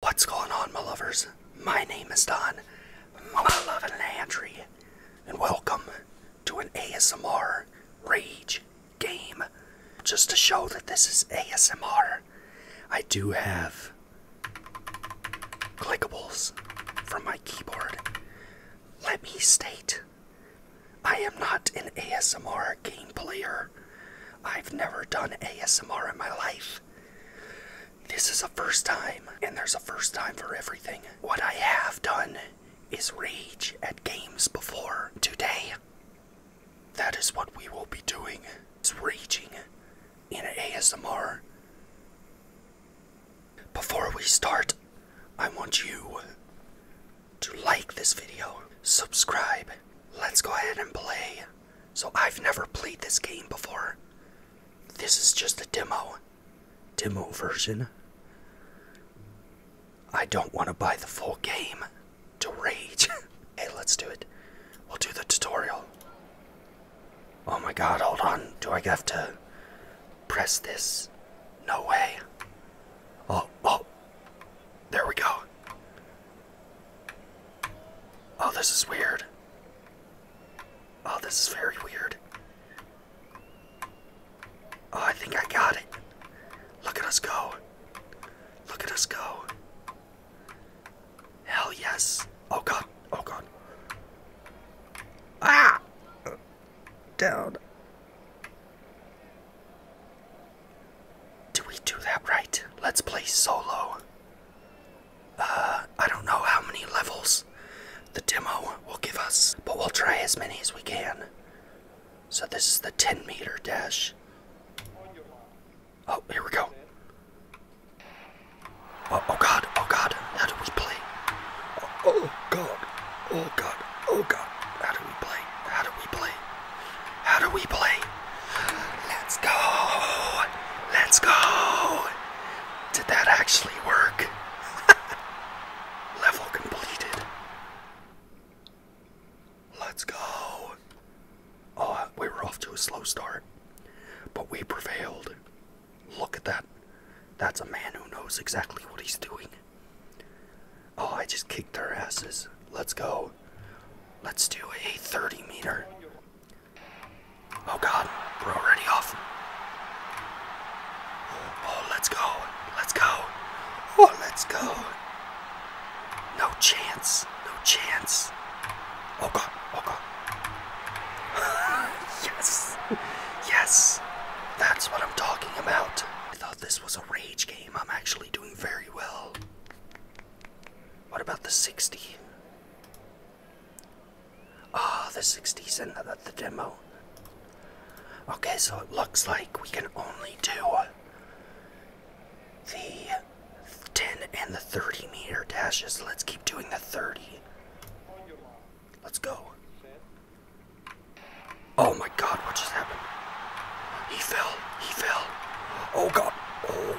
What's going on, my lovers? My name is Don, my loving Landry, and welcome to an ASMR Rage game. Just to show that this is ASMR, I do have clickables from my keyboard. Let me state, I am not an ASMR game player. I've never done ASMR in my life. This is a first time, and there's a first time for everything. What I have done is rage at games before. Today, that is what we will be doing. It's raging in ASMR. Before we start, I want you to like this video, subscribe. Let's go ahead and play. So I've never played this game before. This is just a demo. Demo version. I don't want to buy the full game to rage. hey, let's do it. We'll do the tutorial. Oh my god, hold on. Do I have to press this? No way. Oh, oh. There we go. Oh, this is weird. Oh, this is very weird. Oh, I think I got it. Look at us go. Look at us go. Hell yes. Oh god. Oh god. Ah! Down. Do we do that right? Let's play solo. Uh, I don't know how many levels the demo will give us, but we'll try as many as we can. So this is the 10 meter dash. Oh, here we go. Oh, oh god, oh god, how do we play? oh, oh god, oh god, oh god, how do we play? How do we play? How do we play? Let's go. Let's go. Did that actually work? Level completed. Let's go. Oh, we were off to a slow start, but we prevailed. Look at that. That's a man who knows exactly what he's doing. Oh, I just kicked their asses. Let's go. Let's do a 30 meter. Oh god, we're already off. Oh, oh, let's go. Let's go. Oh, let's go. No chance. No chance. Oh god. Oh god. yes. Yes. That's what I'm talking about. I thought this was a rage game. I'm actually doing very well. What about the 60? Ah, oh, the 60's in the, the demo. Okay, so it looks like we can only do the 10 and the 30 meter dashes. Let's keep doing the 30. Let's go. Oh my god, what just happened? He fell. He fell. Oh god. Oh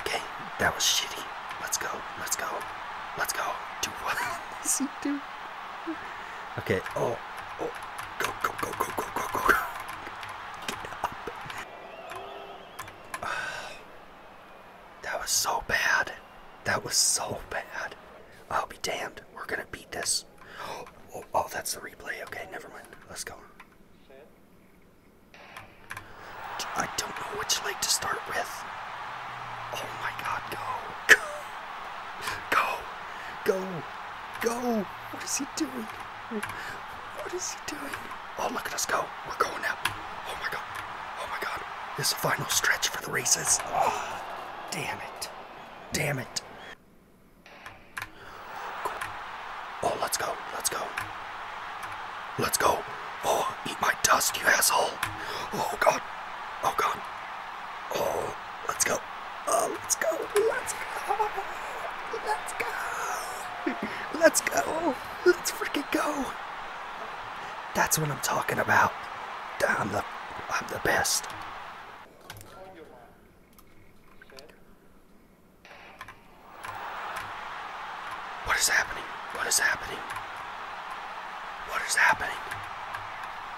Okay, that was shitty. Let's go. Let's go. Let's go. Do what does he do? Okay. Oh. Oh. Go. Go. Go. Go. Go. Go. Go. Get up. Oh, that was so bad. That was so bad. I'll be damned. We're gonna beat this. Oh, oh, oh that's the replay. Okay, never mind. Let's go. I don't know which leg to start with. Oh my god, go. Go. Go. Go. What is he doing? What is he doing? Oh, look at us go. We're going up. Oh my god. Oh my god. This final stretch for the races. Oh, damn it. Damn it. Oh, let's go. Let's go. Let's go. Oh, eat my dust, you asshole. Oh, God. Oh, God. Oh, let's go. Oh, let's go. Let's go. Let's go. Let's go. Let's freaking go. That's what I'm talking about. I'm the, I'm the best. What is happening? What is happening? What is happening?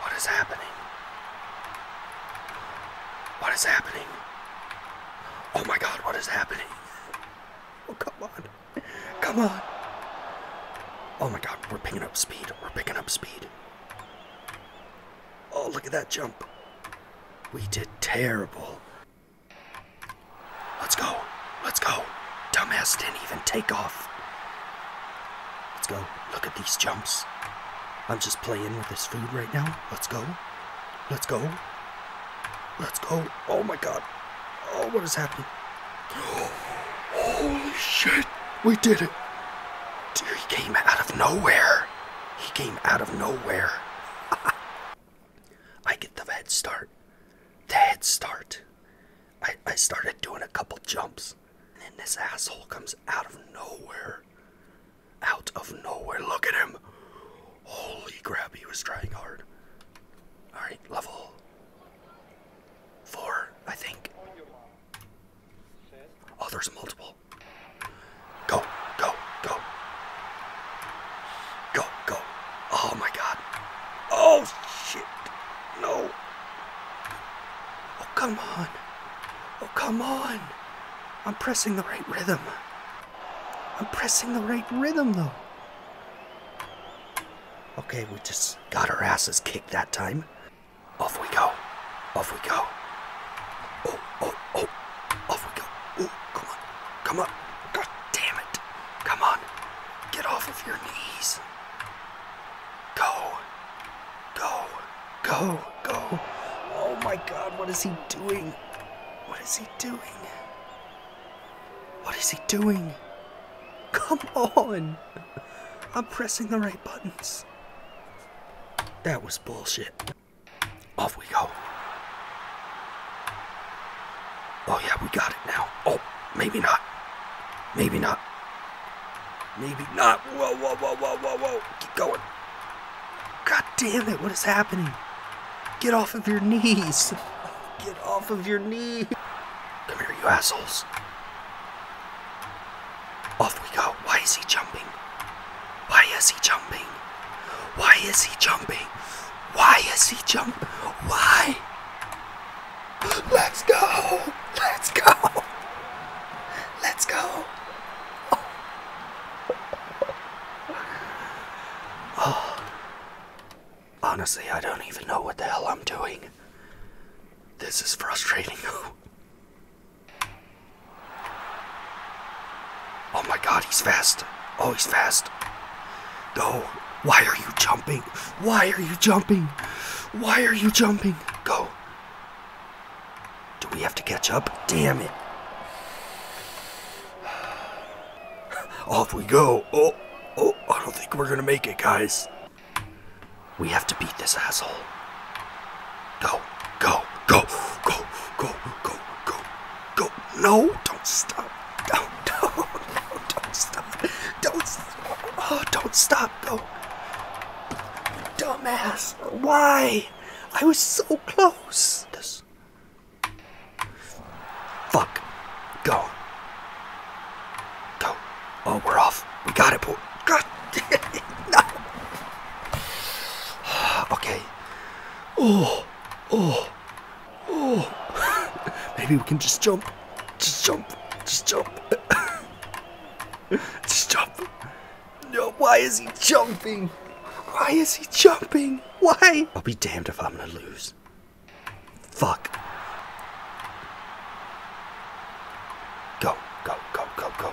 What is happening? What is happening? Oh my god, what is happening? Oh, come on. Come on. Oh my god, we're picking up speed. We're picking up speed. Oh, look at that jump. We did terrible. Let's go. Let's go. Dumbass didn't even take off. Let's go. Look at these jumps. I'm just playing with this food right now. Let's go. Let's go. Let's go. Oh my god. Oh, what is happening? Oh, holy shit. We did it. he came out of nowhere. He came out of nowhere. I get the head start. The head start. I, I started doing a couple jumps. And then this asshole comes out of nowhere. Out of nowhere. Look at him. Holy crap, he was trying hard. Alright, level four, I think. Oh, there's multiple. Go, go, go. Go, go. Oh my god. Oh shit. No. Oh, come on. Oh, come on. I'm pressing the right rhythm. I'm pressing the right rhythm, though. Okay, we just got our asses kicked that time. Off we go. Off we go. Oh, oh, oh. Off we go. Ooh, come on. Come on. God damn it. Come on. Get off of your knees. Go. Go. Go. Go. Oh my god, what is he doing? What is he doing? What is he doing? Come on. I'm pressing the right buttons. That was bullshit. Off we go. Oh yeah, we got it now. Oh, maybe not. Maybe not. Maybe not. Whoa, whoa, whoa, whoa, whoa, whoa. Keep going. God damn it, what is happening? Get off of your knees. Get off of your knees. Come here, you assholes. Off we go. Why is he jumping? Why is he jumping? Why is he jumping? Why is he jump? Why? Let's go! Let's go! Let's go! Oh. Honestly, I don't even know what the hell I'm doing. This is frustrating. Oh my god, he's fast. Oh, he's fast. No. Why are you jumping? Why are you jumping? Why are you jumping? Go. Do we have to catch up? Damn it. Off we go. Oh, oh, I don't think we're gonna make it, guys. We have to beat this asshole. Go, go, go, go, go, go, go, go. No, don't stop. Don't, no, no, don't stop. Don't stop. Oh, don't stop. No. Dumbass. Why? I was so close. This. Fuck. Go. Go. Oh, we're off. We got it, boy. God damn it. No. okay. Oh, oh, oh. Maybe we can just jump. Just jump. Just jump. Stop! No, why is he jumping? Why is he jumping? Why? I'll be damned if I'm gonna lose. Fuck. Go, go, go, go, go.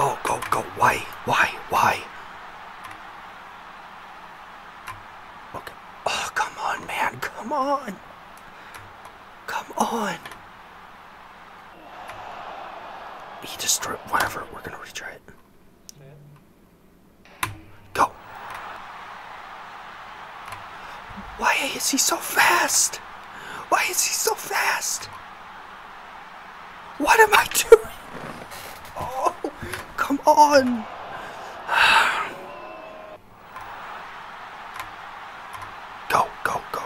Oh, go, go. Why? Why? Why? Okay. Oh, come on, man. Come on. Come on. He destroyed. Whatever. We're going to retry it. Go. Why is he so fast? Why is he so fast? What am I doing? Oh, come on. Go, go, go.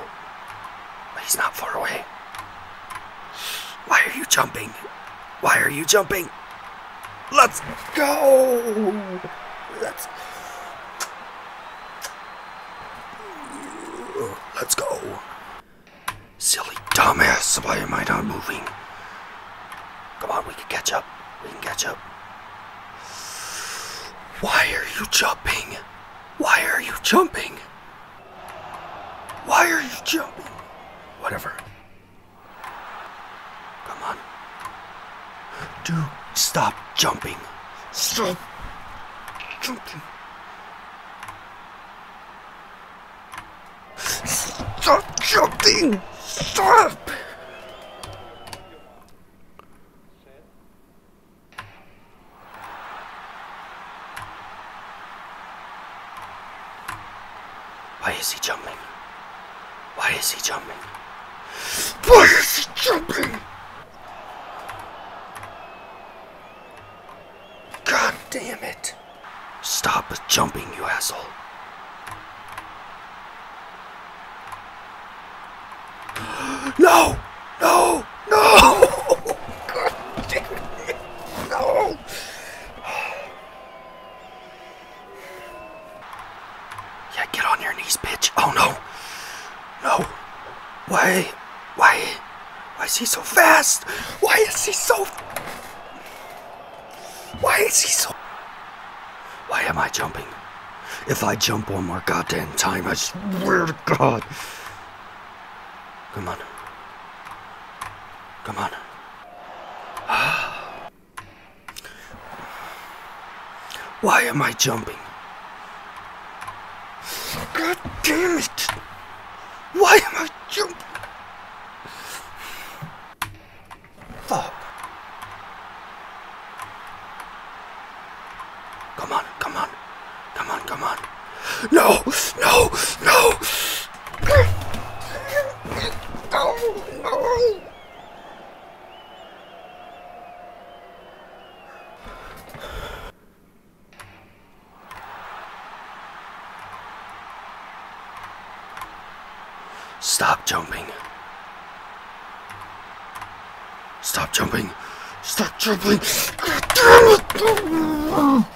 He's not far away. Why are you jumping? Why are you jumping? Let's go. Let's Let's go. Silly dumbass, why am I not moving? Come on, we can catch up. We can catch up. Why are you jumping? Why are you jumping? Why are you jumping? Whatever. Come on. Dude, stop jumping. Stop jumping. Stop jumping! Stop! Why is he jumping? Why is he jumping? Why is he jumping? God damn it. Stop jumping, you asshole. No! No! No! No! Yeah, get on your knees, bitch. Oh no! No! Why? Why? Why is he so fast? Why is he so... Why is he so... Why am I jumping? If I jump one more goddamn time, I swear to God. Come on. Come on. Why am I jumping? God damn it! Why am I Achoo. Fuck. Come on, come on. Come on, come on. No, no, no. Stop jumping. Stop jumping. Stop jumping. God damn it. Oh.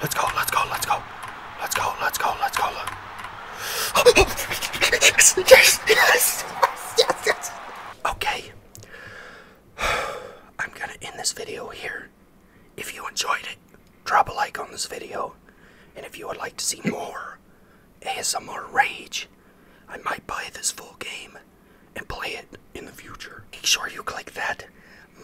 Let's go, let's go, let's go. Let's go, let's go, let's go. Okay. I'm gonna end this video here. If you enjoyed it, drop a like on this video. And if you would like to see more ASMR Rage, I might buy this full game and play it in the future. Make sure you click that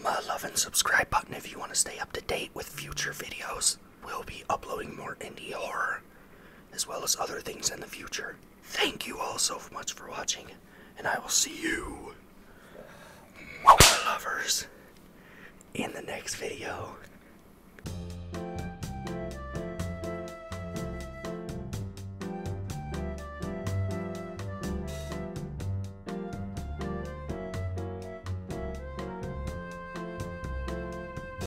love and subscribe button if you want to stay up to date with future videos will be uploading more indie horror as well as other things in the future. Thank you all so much for watching, and I will see you, my lovers, in the next video.